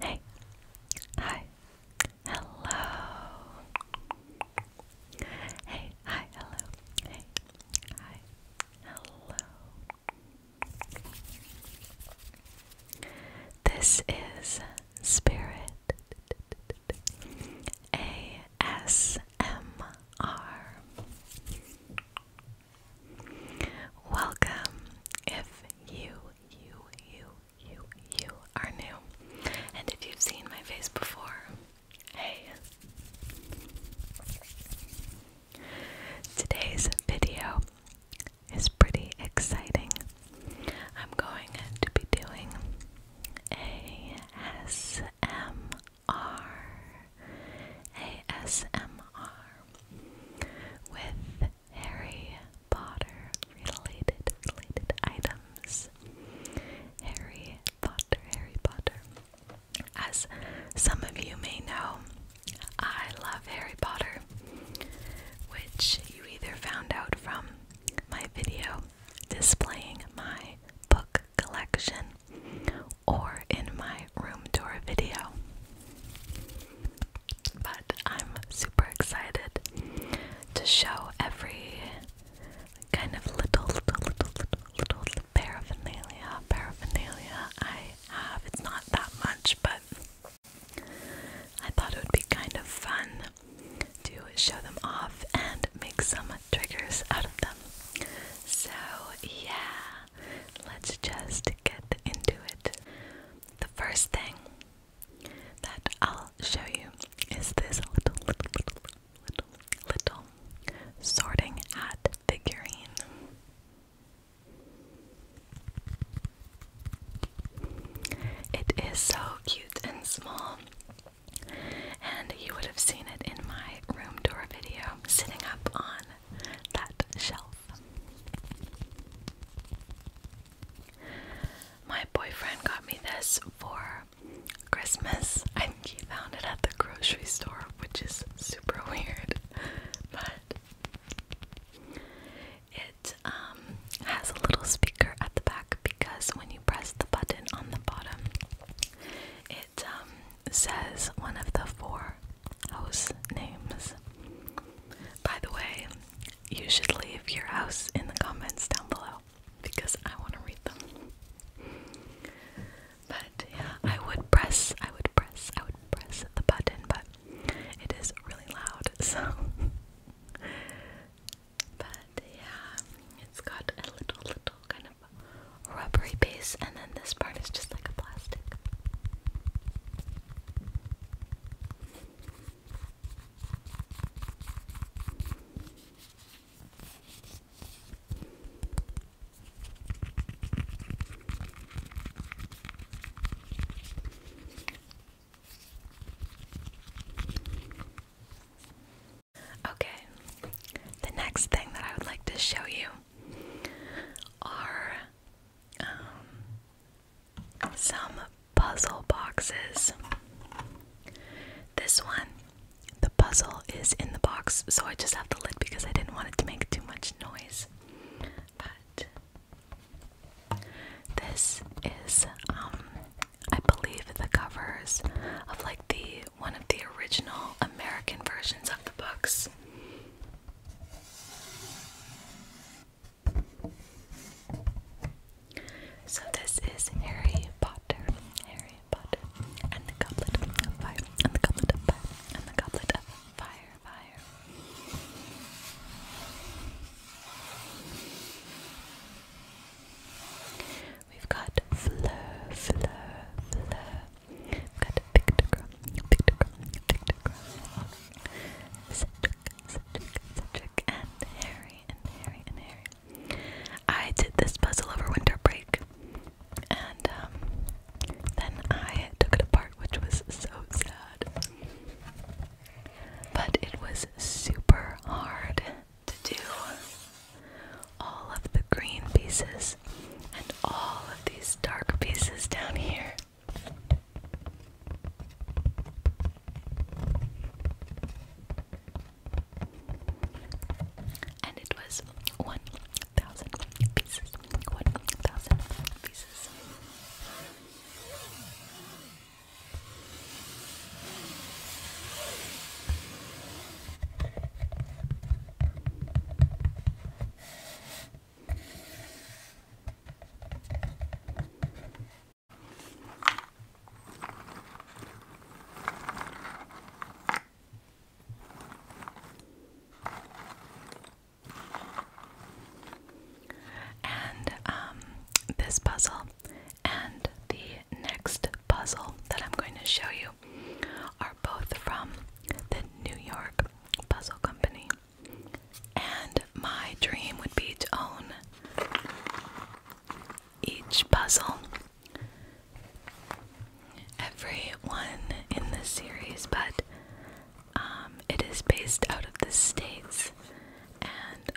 Hey, hi, hello. Hey, hi, hello. Hey, hi, hello. This is Spirit ASMR. Welcome if you, you, you, you, you are new. And if you've seen my face before, hey. Today's video is pretty exciting. I'm going to be doing ASMR ASMR with Harry Potter related items. Harry Potter, Harry Potter. As some of you may know, I love Harry Potter, which you either found out from my video displaying my book collection or in my room tour video. But I'm super excited to show every kind of little, little, little, little, little paraphernalia, paraphernalia I have. It's not that much, but I thought it would be kind of fun to show them off and make some triggers out of them. So, yeah let's just get into it. The first thing that I'll show you is this little, little, little, little, little sorting hat figurine. It is so cute and small, and you would have seen it in my room tour video, sitting up on that shelf. My boyfriend got me this for Christmas. I think he found it at the grocery store, which is super weird. But it um, has a little speaker at the back because when you press the button on the bottom, it um, says one of the four house names. By the way, you should leave your house in the comments down below because I want to read them. But yeah, I would press, I would press, I would press the button, but it is really loud, so. But yeah, it's got a little, little kind of rubbery base, and then this part is just like a plastic. Okay, the next thing that I would like to show you are um, some puzzle boxes. This one, the puzzle is in the box, so I just have the lid because I didn't want it to make too much noise. But this is, um, I believe, the covers of like the one of the original American versions of the books. So this is Harry Potter, Harry Potter, and the Goblet of Fire, and the Goblet of Fire, and the Goblet of Fire, Fire. We've got Fleur, Fleur, Fleur, I've got Cedric, Cedric, Cedric, and Harry, and Harry, and Harry. I did this puzzle over winter break, and um, then I took it apart, which was so sad. But it was super hard to do all of the green pieces and all of these dark pieces down here. And it was 1,000 pieces. 1,000 pieces. And um, this puzzle and the next puzzle that I'm going to show you are both from the New York Puzzle Company. And my dream would be to own each puzzle. Every one in the series, but um, it is based out of the States, and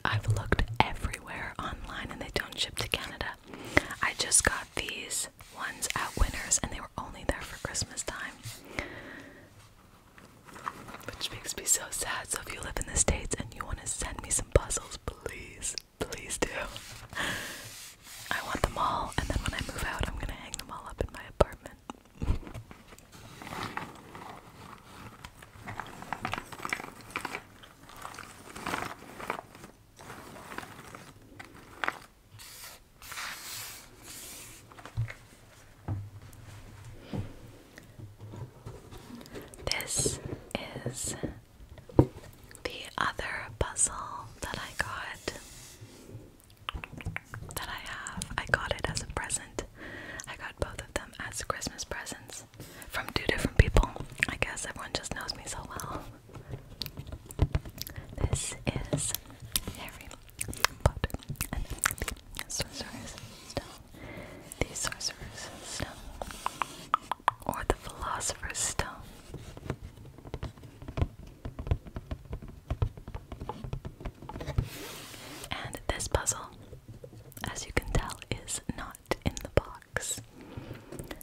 I've looked everywhere online and they don't ship to Canada. I just got these ones at Winners, and they were only there for Christmas time. Which makes me so sad. So if you live in the States and you want to send me some puzzles, please, please do. I want them all, and then when I move out, I'm going to hang them all up in my apartment. This is the other puzzle that I got. That I have. I got it as a present. I got both of them as Christmas presents from two different people. I guess everyone just knows me so well. This is Harry Potter and the Sorcerer's Stone. The Sorcerer's Stone. Or the Philosopher's Stone. And this puzzle, as you can tell, is not in the box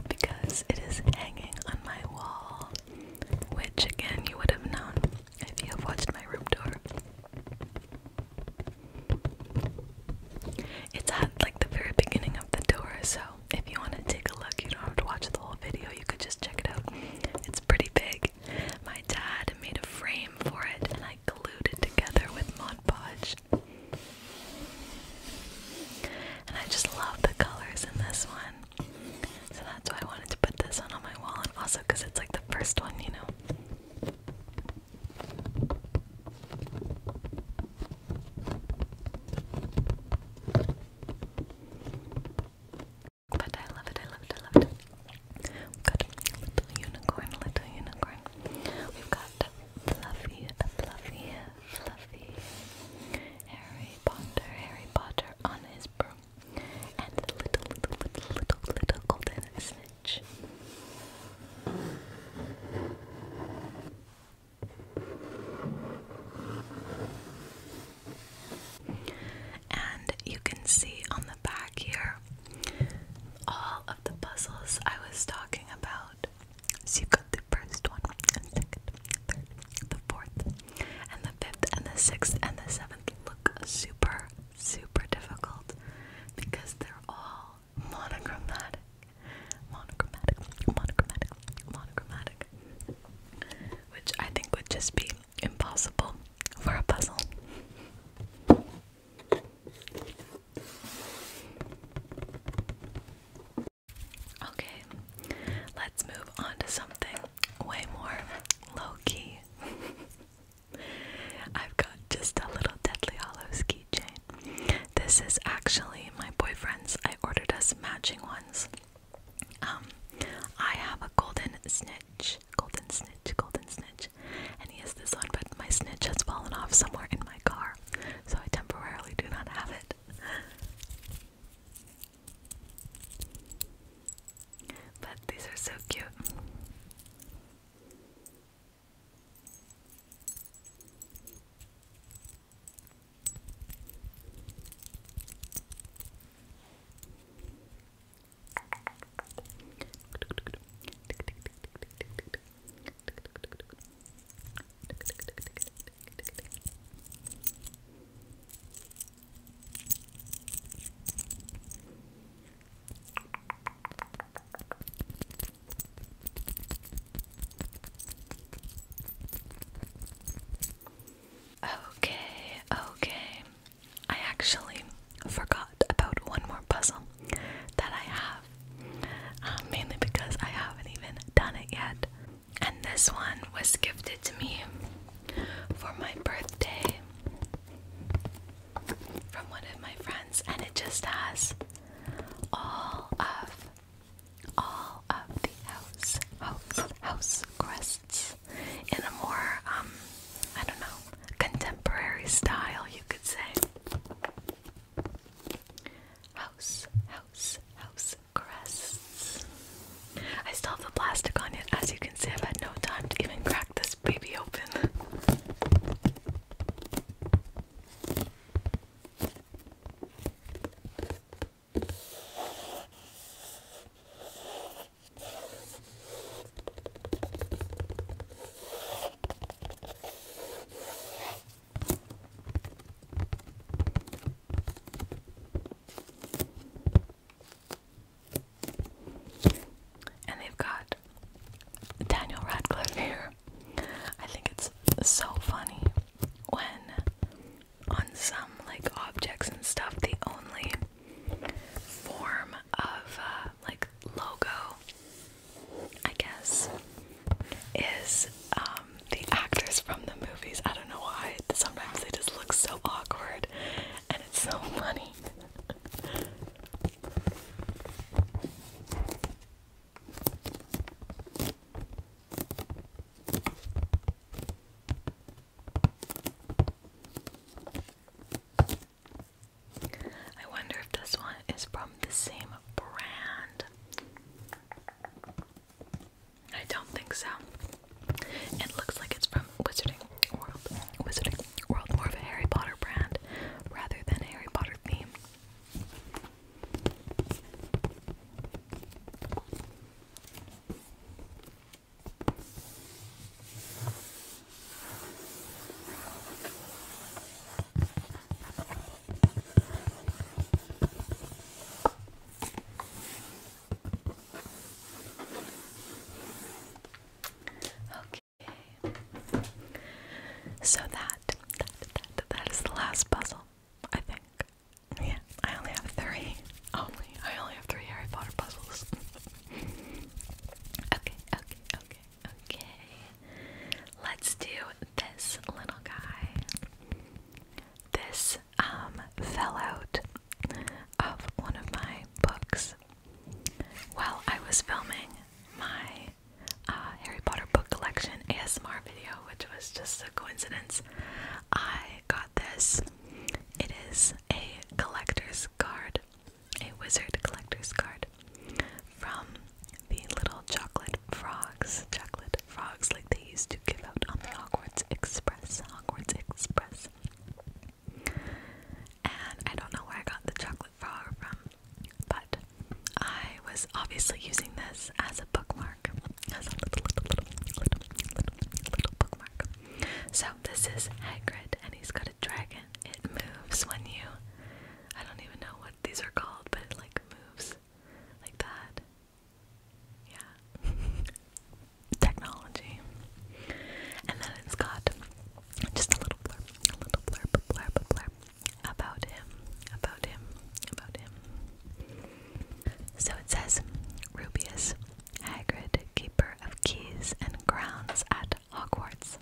because it is hanging on my wall which again you would have known if you have watched my room tour. It's at like the very beginning of the tour, so if you want to take a look, you don't have to watch the whole video, you could just check it out. It's pretty big. My dad made a frame for it and I glued it together with Mod Podge. And I just love the colors in this one. So that's why I wanted to put this one on my wall, and also because it's like the first one, you know. But I love it, I love it, I love it. Good. Little unicorn, little unicorn. We've got fluffy, fluffy, fluffy, Harry Potter, on his broom, and the little, little, little, little, little golden snitch. And you can see on the back here all of the puzzles I was talking about. So you got the first one, third, the fourth, and the fifth and the sixth and the seventh look super, super difficult because they're all monochromatic. Monochromatic, monochromatic, monochromatic. Which I think would just be impossible for a puzzle. Okay, let's move on to something way more low key. I've got just a little Deadly Hollows keychain. This is actually my boyfriend's. I ordered us matching ones. Um, I have a golden snitch, golden snitch, golden snitch, and he has this one, but my snitch has fallen off somewhere in my car, so I temporarily do not have it. But these are so cute. Okay, okay. I actually forgot about one more puzzle that I have, um, mainly because I haven't even done it yet. And this one was gifted to me for my birthday from one of my friends, and it just has all of all of the house house house crests in a more um I don't know contemporary style you could say house house house crests. I still have the plastic on it. As you can see, I've had no time to even crack this baby open. And they've got Daniel Radcliffe here. I think it's so funny when on some like objects and stuff the only form of uh, like logo I guess is um, the actors from the movies. I don't know why. Sometimes they just look so awkward, and it's so funny. I wonder if this one is from the same brand. I don't think so. It looks like it's from Wizarding World. Wizarding World, more of a Harry Potter brand rather than a Harry Potter theme. Okay. So that, that that that is the last puzzle, I think. Yeah, I only have three. Only I only have three Harry Potter puzzles. okay, okay, okay, okay. Let's do this little guy. This um, fell out of one of my books while I was filming my uh, Harry Potter book collection ASMR video, which was just a coincidence. I got this. It is a collector's card, a wizard collector's card from the Little Chocolate Frogs, Chocolate frogs like they used to give out on the Hogwarts Express. Hogwarts Express. And I don't know where I got the chocolate frog from, but I was obviously using this as a bookmark, as a little, little, little, little, little, little bookmark. So this is Hagrid, and he's got a dragon. It moves when you. I don't even know what these are called, but it like moves like that. Yeah. Technology. And then it's got just a little blurb, a little blurb, blurb, blurb about him, about him, about him. So it says Rubius, Hagrid, keeper of keys and grounds at Hogwarts.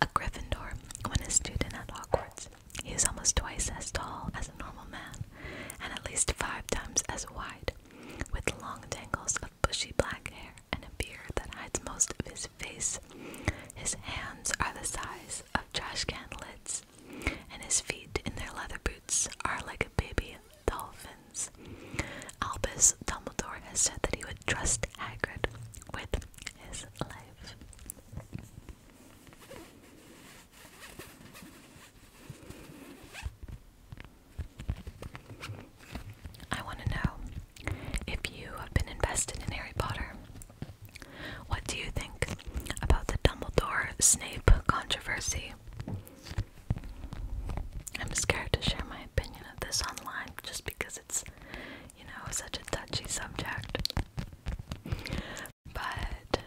A Gryffindor, when a student at Hogwarts, he is almost twice as tall as a normal man and at least five times as wide, with long tangles of bushy black hair and a beard that hides most of his face. His hands are the size of trash can lids, and his feet in their leather boots are like a baby dolphin's. Albus Dumbledore has said that he would trust Hagrid with his life. I want to know if you have been invested in Harry Potter. What do you think about the Dumbledore Snape controversy? I'm scared to share my opinion of this online just because it's, you know, such a touchy subject. But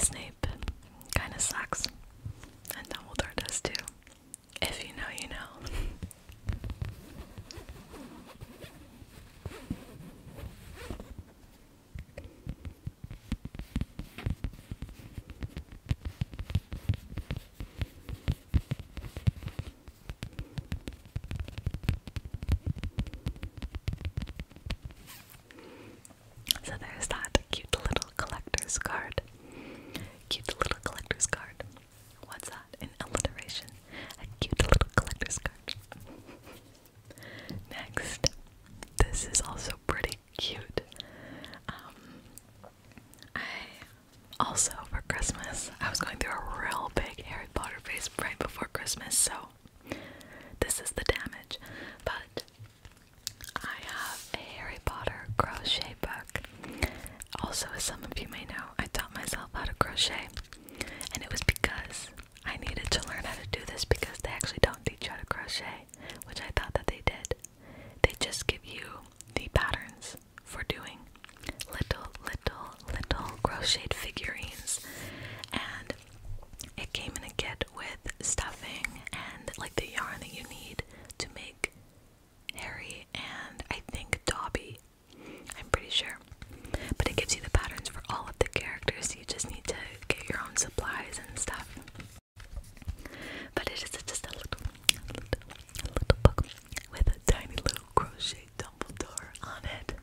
Snape kind of sucks, and Dumbledore does too. If you know, you know. So there's that cute little collector's card. Cute little collector's card. What's that? An alliteration. A cute little collector's card. Next, this is also pretty cute. Um, I also for Christmas I was going through a real big Harry Potter phase right before Christmas, so this is the damage. But I have a Harry Potter crochet book. Also, as some of you may know, I taught myself how to crochet, and it was because I needed to learn how to do this because they actually don't teach you how to crochet, which I thought that they did. They just give you the patterns for doing little, little, little crocheted figurines, and it came in a kit with stuffing and like the yarn that you need to make Harry and I think Dobby. I'm pretty sure. But it gives you the patterns for all of the characters. You just need to get your own supplies and stuff. But it is just a little, little, little book with a tiny little crochet Dumbledore on it.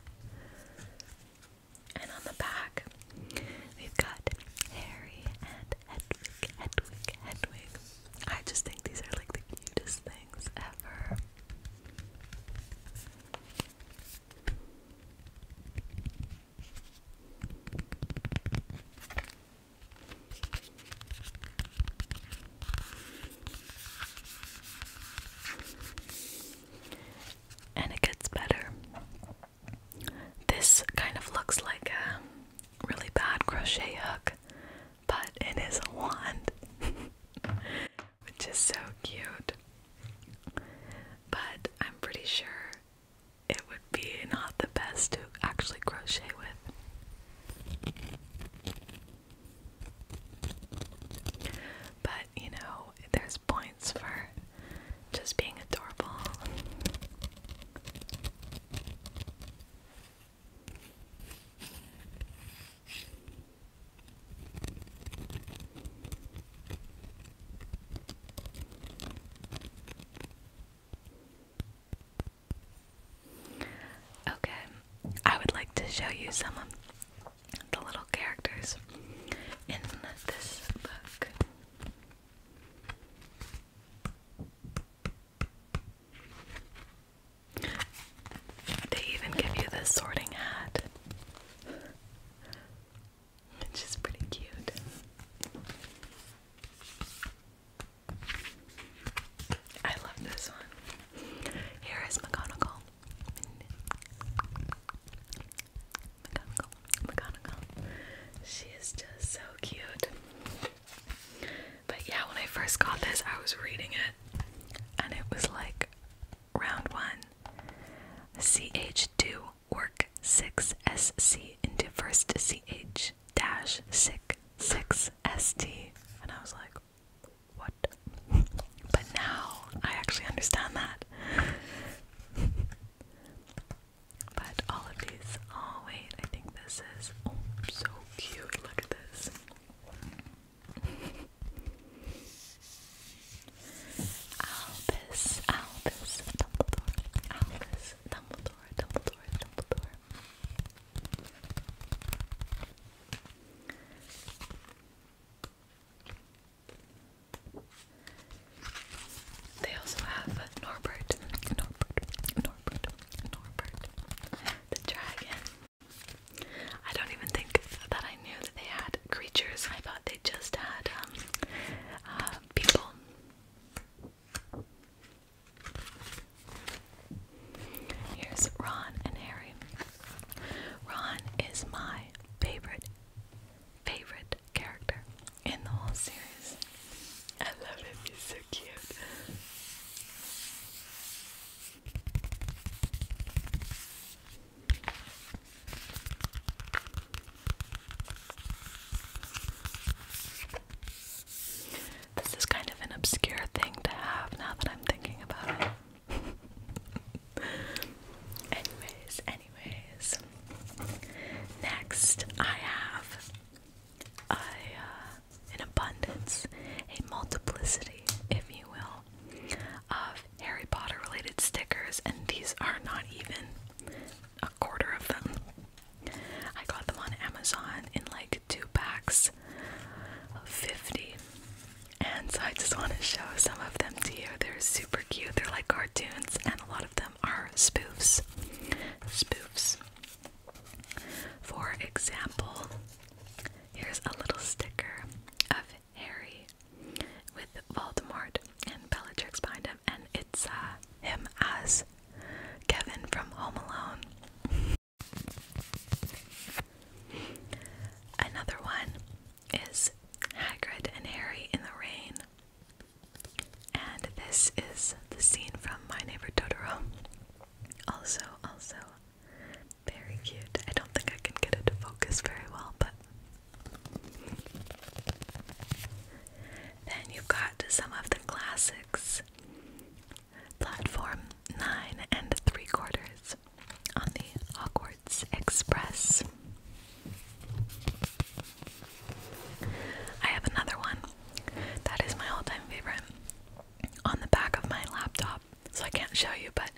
And on the back, we've got Harry and Hedwig, Hedwig, Hedwig. I just think these are like the cutest things ever and it gets better. This kind of looks like a really bad crochet hook, but it is a wand, which is so cute. But I'm pretty sure it would be not the best to actually crochet with. But you know, there's points for just being adorable. Okay, I would like to show you some the little characters in this book. They even give you the sorting hat, which is pretty cute. I love this one. Here is McGonagall. McGonagall, McGonagall. She is just so cute. But yeah, when I first got this, I was reading it, and it was like round one, CH2 work 6SC into first CH dash sick 6ST. And I was like, what? But now I actually understand that. but all of these. Oh, wait, I think this is. Oh, so cute. Look at this. Albus, Albus, Dumbledore, Albus, Dumbledore, Dumbledore, Dumbledore. They also have Norbert, Norbert, Norbert, Norbert, the dragon. I don't even think that I knew that they had creatures. I thought they just had um, uh, people. Here's Ron and Harry. Ron is my favorite, favorite character in the whole series. I love him, he's so cute. This is kind of an obscure thing to have now that I'm thinking about it anyways, anyways. Next, I have a, uh, an abundance, a multiplicity, if you will, of Harry Potter related stickers, and these are not even a quarter of them. I got them on Amazon in like two packs of 50. And so I just want to show some of them to you. They're super cute. They're like cartoons, and a lot of them are spoofs. Spoofs. For example, here's a little sticker of Harry with Voldemort and Bellatrix behind him, and it's uh, him as Kevin from Home Alone. Another one is Hagrid and Harry in the rain. And this is the scene from My Neighbor Totoro. Also, also very cute. I don't think I can get it to focus very well, but then you've got some of the classics. Platform nine and three quarters on the Hogwarts Express. I have another one that is my all time favorite on the back of my laptop, so I can't show you, but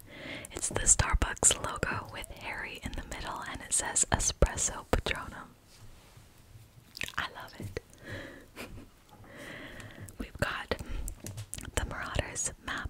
it's the Starbucks logo with Harry in the middle and it says Espresso Patronum. I love it. We've got the Marauders map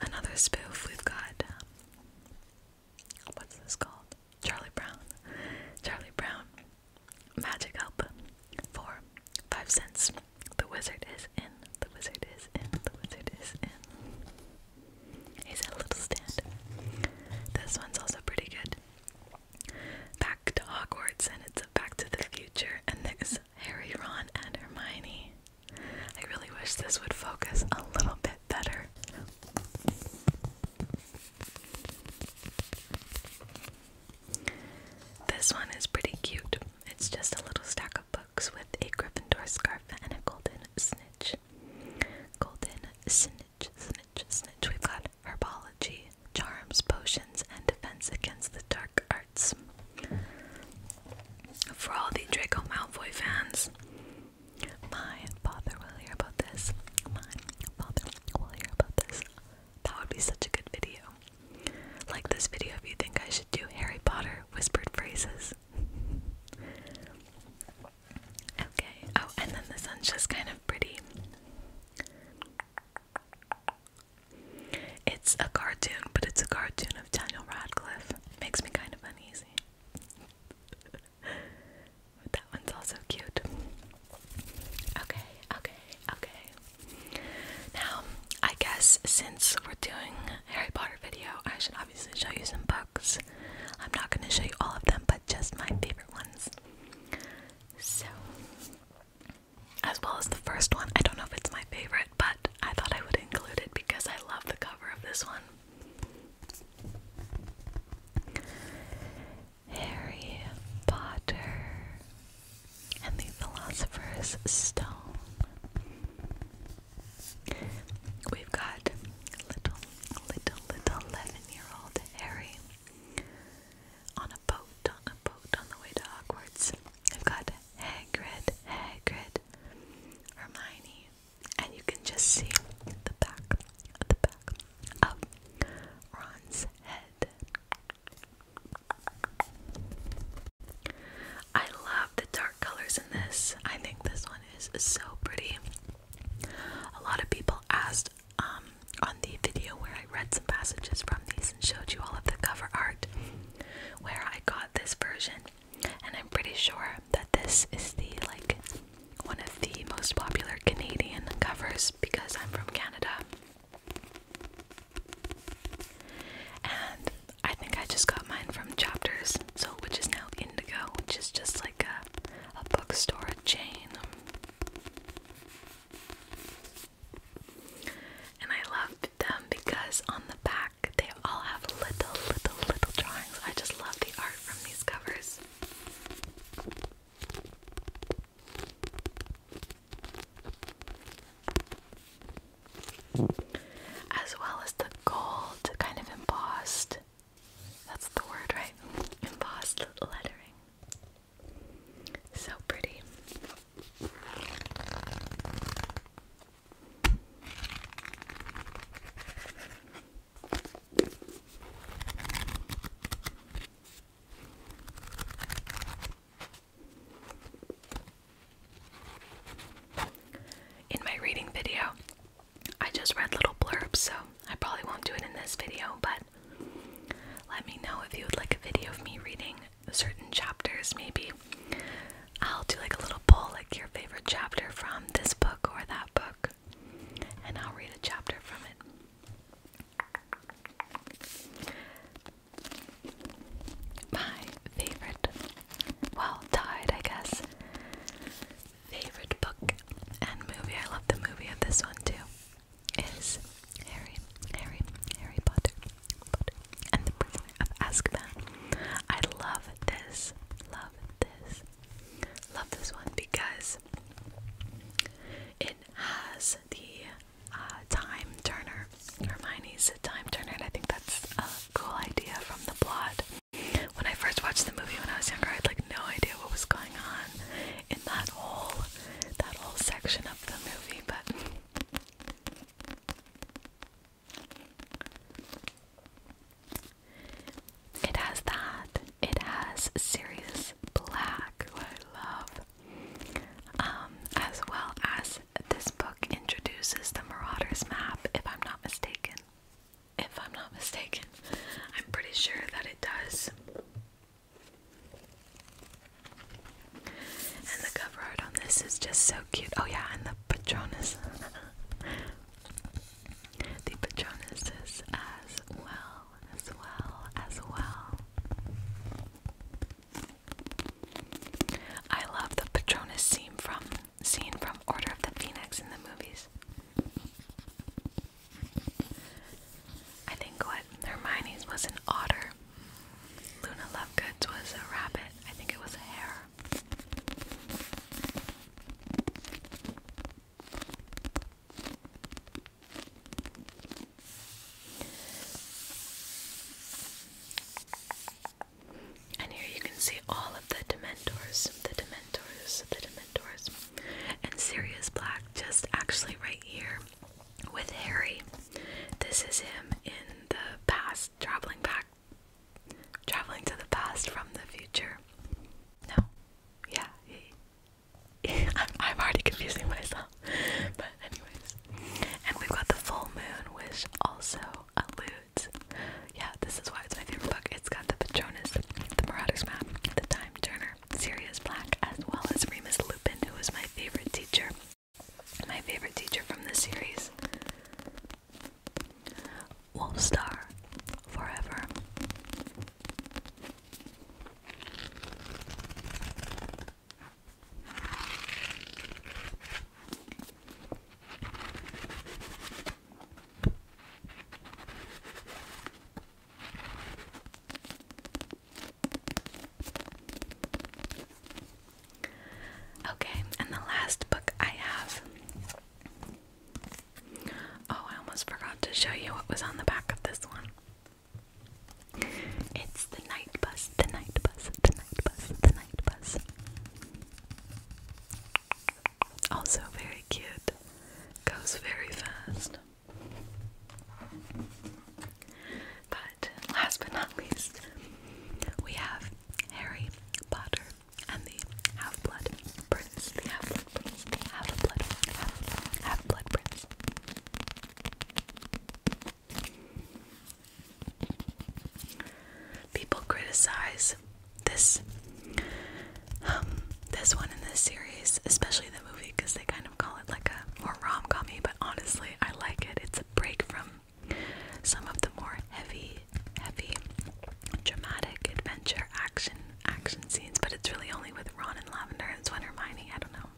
Another spoof we've got. Um, what's this called? Charlie Brown. Charlie Brown. Magic help for five cents. The wizard is in. The wizard is in. The wizard is in. He's at a little stand. This one's also pretty good. Back to Hogwarts, and it's a Back to the Future, and there's Harry, Ron, and Hermione. I really wish this would focus a little bit better. This one is pretty cute. It's just a little stack of books with a Gryffindor scarf and a golden snitch. Golden snitch, snitch, snitch. We've got herbology, charms, potions, and defense against the dark Arts. For all the Draco Malfoy fans, my father will hear about this. My father will hear about this. That would be such a good video. Like this video if you think I should do Harry Potter whispered phrases. okay, oh, and then the sun's just kind of pretty. It's a cartoon, but it's a cartoon of Daniel Radcliffe. Makes me kind of uneasy. but that one's also cute. Okay, okay, okay. Now, I guess since we're doing Harry Potter video, I should obviously show you some books. I'm not going to show you all of them, but just my favorite ones. So, as well as the first one, I don't know if it's my favorite, but I thought I would include it because I love the cover of this one. Harry Potter and the Philosopher's Stone. We've got little, little, little 11 year old Harry on a boat, on a boat on the way to Hogwarts. I've got Hagrid, Hagrid, Hermione, and you can just see the back, the back of Ron's head. I love the dark colors in this. I think this one is so pretty. A lot of people asked um, on the video where I read some passages from these and showed you all of the cover art where I got this version, and I'm pretty sure that this is the like one of the most popular Canadian covers because I'm from Canada. And I think I just got mine from Chapters, so which is now Indigo, which is just like a, a bookstore chain. And I loved them because on the back they all have little, little, little drawings. I just love the art from these covers. As well as the gold, kind of embossed. That's the word, right? Embossed lettering. So pretty. In my reading video, I just read little blurbs, so I probably won't do it in this video, but let me know if you would like a video of me reading certain chapters maybe I'll do like a little poll like your favorite chapter from this book or that book and I'll read a chapter from it. My favorite well tied I guess favorite book and movie. I love the movie of this one too. Is Harry, Harry, Harry Potter and the prisoner of Azkaban. I love this, love this, love this one because it has the uh, time turner. Hermione's a time turner, and I think that's a cool idea from the plot. When I first watched the movie when I was younger, I had like no idea what was going on in that whole that whole section of the movie, but it has that. It has Sirius Black, I love. Um, as well as this book introduces the Marauders map, if I'm not mistaken. If I'm not mistaken, I'm pretty sure that it does. And the cover art on this is just so cute. Oh yeah, and the Patronus. the Patronus is as well, as well, as well. I love the Patronus scene from scene from Order of the Phoenix in the movies. I think what Hermione's was an otter. Luna Lovegood was a rabbit. I think it was a hare. And here you can see all of the Dementors, the Dementors, the Dementors. And Sirius Black just actually right here with Harry. This is him in the past traveling back, traveling to the past from the future. No, yeah, I'm, I'm already confusing myself. But anyways, and we've got the full moon, which also alludes. Yeah, this is why it's my favorite book. It's got the Patronus, the Marauders Map, the Time Turner, Sirius Black, as well as Remus Lupin, who was my favorite teacher my favorite teacher from this series. Wolfstar Forever. Okay, and the last book I have. Oh, I almost forgot to show you what was on the back of this one. It's The Night Bus, The Night Bus, The Night Bus, The Night Bus. Also very cute. Goes very fast. But last but not least, we have Harry Potter and the Half Blood Prince. The Half Blood Prince. The Half Blood. Prince. People criticize this um, this one in this series, especially the movie, because they kind of call it like a more rom-commy. But honestly, I like it. It's a break from some of the more heavy, heavy, dramatic adventure action action scenes, but it's really only with Ron and Lavender. It's when Hermione, I don't know.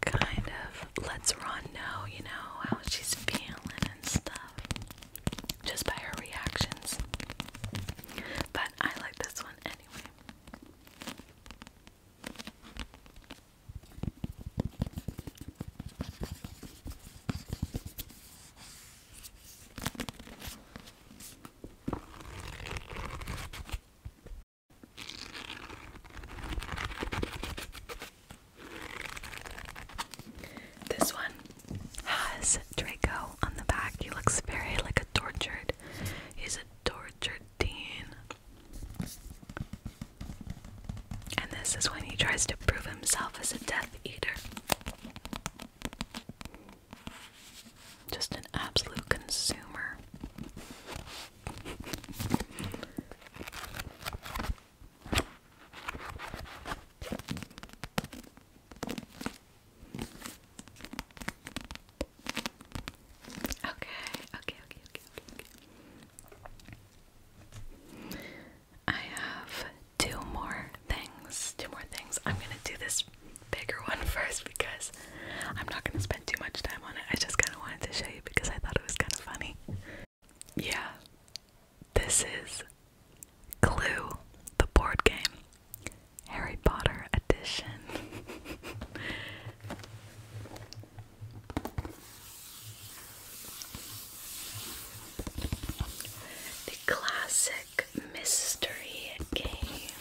Kind of lets Ron know, you know, how she's feeling and stuff. Just by her reactions. But I like this one anyway. This one has Draco on the back. He looks very like a tortured. He's a tortured and this is when he tries to prove himself as a Death Eater. Just an absolute consumer. Okay, okay, okay, okay, okay, I have two more things. Two more things. I'm gonna do this bigger one first because I'm not gonna spend too much time on it. I just kinda wanted to show you because I thought it was kinda funny. Yeah. This is Clue, the board game. Harry Potter edition. The classic mystery game.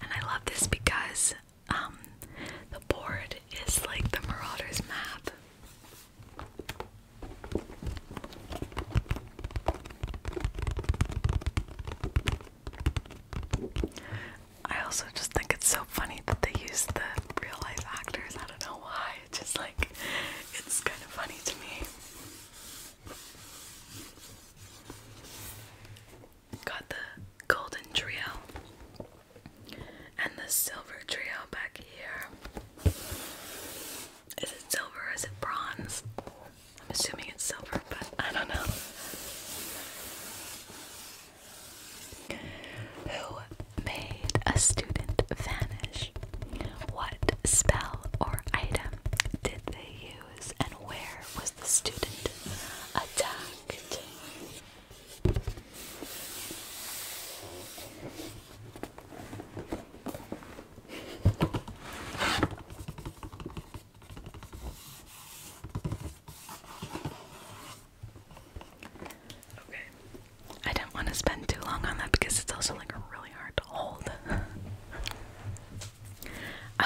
And I love this because um, the board is like the Marauders map. I also just think it's so funny that they use the real life actors. I don't know why. It's just like, it's kind of funny to me. Got the golden trio and the silver trio back here. Is it silver is it bronze? I'm assuming it's silver, but I don't know. Who made a student vanish? What spell or item did they use, and where was the student attacked? Okay. I didn't want to spend too long on that because it's also like really hard to hold.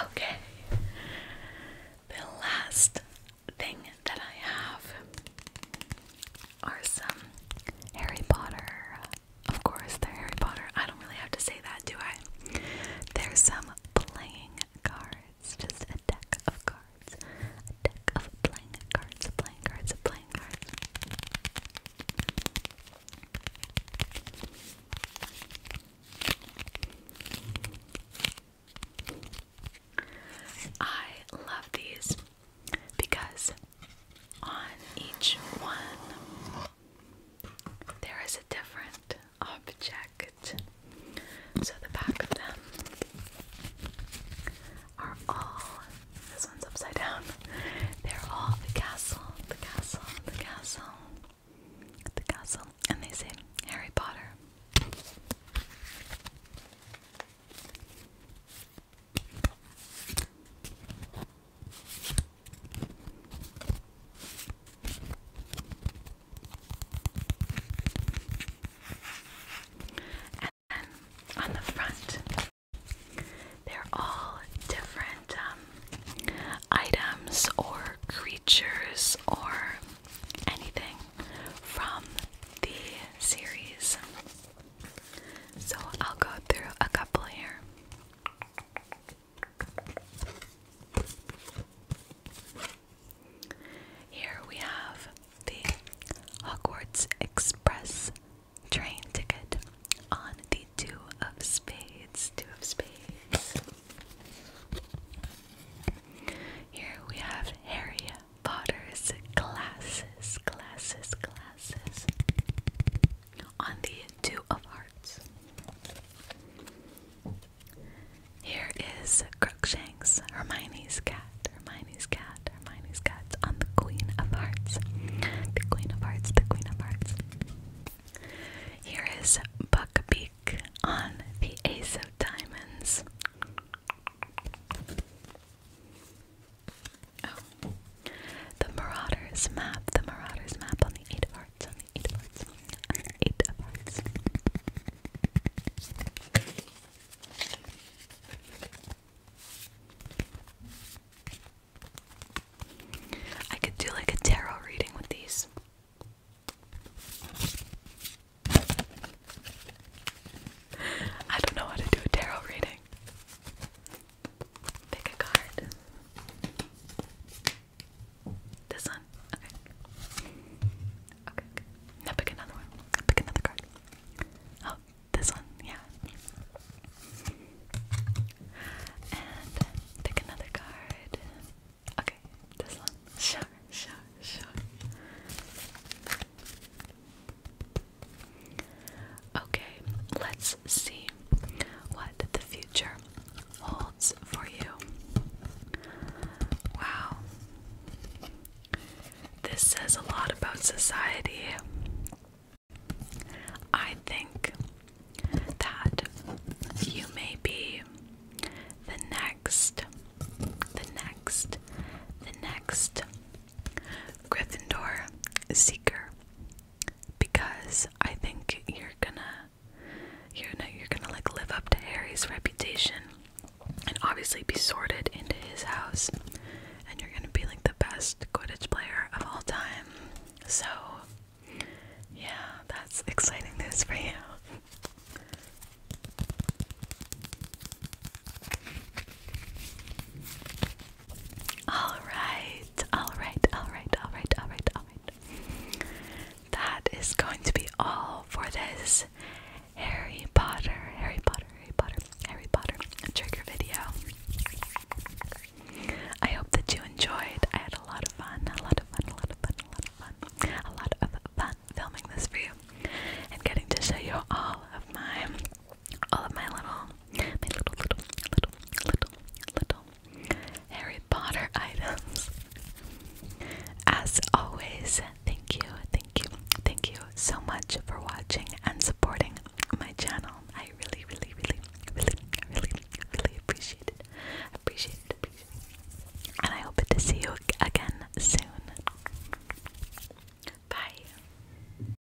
okay. The last thing that I have are some Harry Potter of course, they're Harry Potter. I don't really have to say that, do I? There's some playing cards, just a deck of cards, a deck of playing cards, playing cards, playing cards. I love these because on each one, there is a different object. So the back of them are all, this one's upside down, they're all the castle, the castle, the castle, the castle, and they say Harry Potter. And then on the front, they're all different um, items or creatures or anything from the series. So I'll go through a couple here. Here we have the Hogwarts Express train ticket on the Two of Spades. Two of Spades. Here we have Harry Potter's glasses, glasses, glasses on the Two of Hearts. Here is Crookshanks, Hermione's cat, Hermione's cat, Hermione's cat on the Queen of Hearts. The Queen of Hearts, the Queen of Hearts. Here is Buckbeak on the Ace of Diamonds. Oh. The Marauders map. The Marauders map on the Eight of On the Eight of Hearts. On the Eight of Hearts. I could do like a tarot reading with these. I don't know how to do a tarot reading. Pick a card. This one? Okay. Okay, Now pick another one. Pick another card. Oh, this one, yeah. And pick another card. Okay, this one. Sure, sure, sure. Okay, let's see what the future holds for you. Wow. This says a lot about society. I think that you may be the next, the next, the next Gryffindor seeker because I think you're gonna you're gonna, you're gonna like live up to Harry's reputation and obviously be sorted into his house and you're gonna be like the best Quidditch player of all time. So yeah, that's exciting news for you. All right, all right, all right, all right, all right, all right. That is going to be all for this Harry Potter, Harry Potter, Harry Potter, Harry Potter trigger video. I hope that you enjoyed. I had a lot of fun, a lot of fun, a lot of fun, a lot of fun, a lot of fun filming this for you and getting to show you all of my all of my little, my little, little, little, little, little Harry Potter items. As always, thank you, thank you, thank you so much for watching and supporting my channel. I really, really, really, really, really, really appreciate it. Appreciate it. Appreciate it. And I hope to see you again soon. Bye.